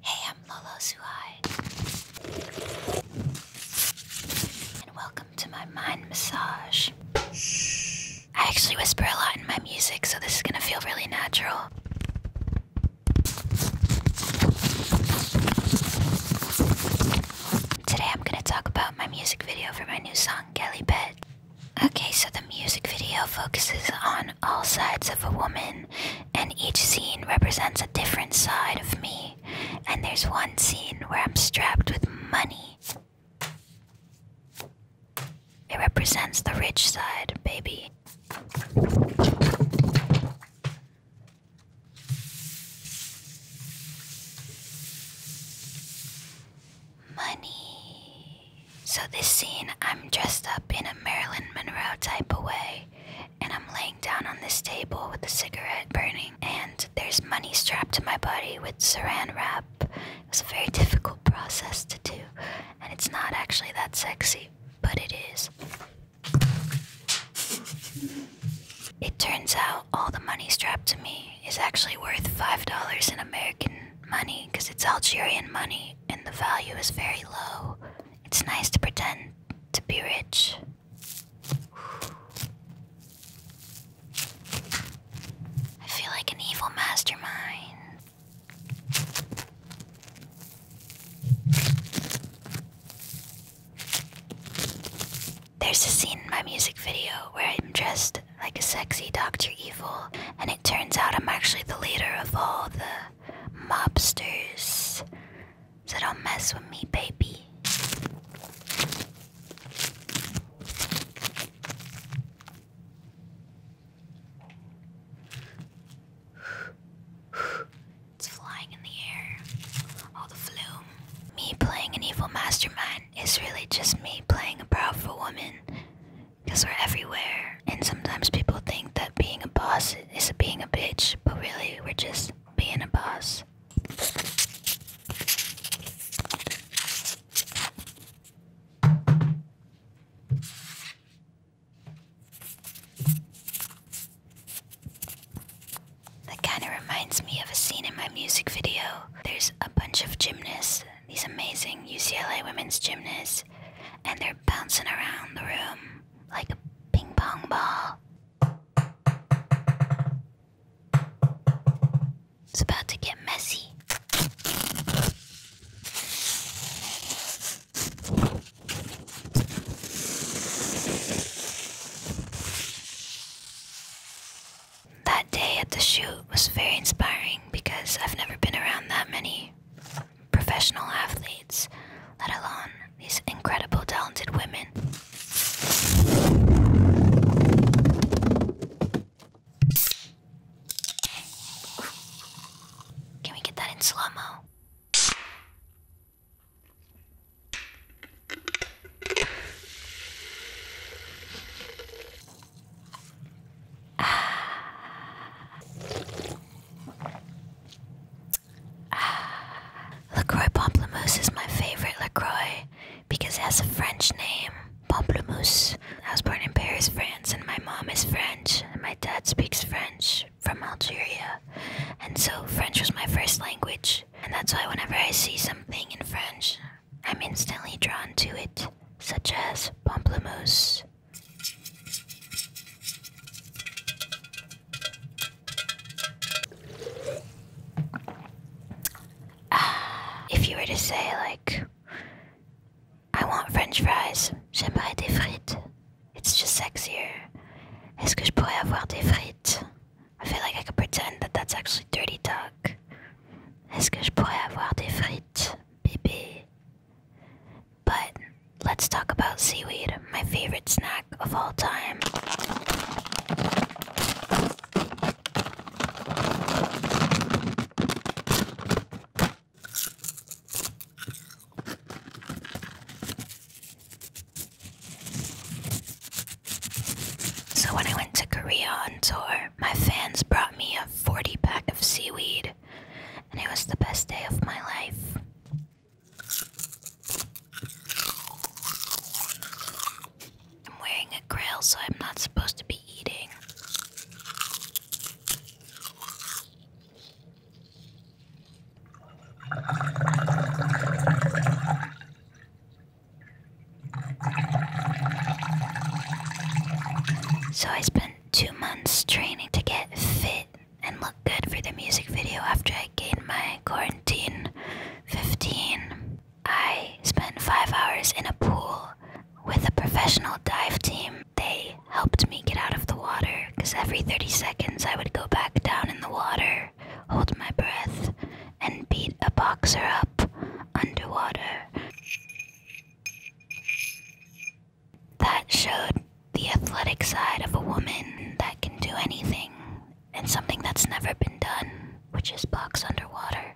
Hey, I'm Lolo Suhai. And welcome to my mind massage. I actually whisper a lot in my music, so this is gonna feel really natural. Today I'm gonna talk about my music video for my new song, Gelly Bed. Okay, so the music video focuses on all sides of a woman and each scene represents a different side of me. And there's one scene where I'm strapped with money. It represents the rich side, baby. Money. So, this scene, I'm dressed up in a Marilyn Monroe type of way, and I'm laying down on this table with a cigarette burning, and there's money strapped to my body with saran wrap. It was a very difficult process to do, and it's not actually that sexy, but it is. It turns out all the money strapped to me is actually worth $5 in American money because it's Algerian money and the value is very low. It's nice to pretend to be rich. I feel like an evil mastermind. There's a scene in my music video where I'm dressed like a sexy Dr. Evil, and it turns out I'm actually the leader of all the mobsters. So don't mess with me, baby. It's flying in the air. All the flume. Me playing an evil mastermind it's really just me playing a powerful woman because we're everywhere. And sometimes people think that being a boss is being a bitch, but really we're just being a boss. That kind of reminds me of a scene in my music video. There's a bunch of gymnasts these amazing UCLA women's gymnasts, and they're bouncing around the room like a ping pong ball. It's about to get messy. That day at the shoot was very inspiring because I've never been around that many professional athletes, let alone these incredible talented women. Can we get that in slow mo? LaCroix Pamplemousse is my favorite LaCroix because it has a French name, Pamplemousse. I was born in Paris, France, and my mom is French, and my dad speaks French from Algeria. And so French was my first language and that's why whenever I see something in French, I'm instantly drawn to it, such as pamplemousse. Ah, if you were to say, like, I want French fries, j'aimerais des frites. It's just sexier. Est-ce que je pourrais avoir des frites? I feel like I could pretend that that's actually dirty talk. Est-ce que je pourrais avoir des frites, bébé? But let's talk about seaweed, my favorite snack of all time. So, when I went to Korea on tour, my fans brought me a 40 pack of seaweed, and it was the best day of my life. I'm wearing a grill, so I'm not supposed to be eating. So I spent two months training to get fit and look good for the music video after I gained my quarantine 15. I spent five hours in a pool with a professional dive team they helped me get out of the water because every 30 seconds I would go back down in the water, hold my breath, and beat a boxer up underwater. That showed the athletic side of a woman that can do anything and something that's never been done, which is box underwater.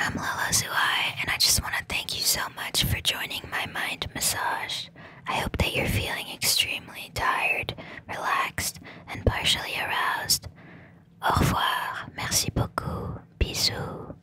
I'm Lola Zuai, and I just want to thank you so much for joining my mind massage. I hope that you're feeling extremely tired, relaxed, and partially aroused. Au revoir, merci beaucoup, bisous.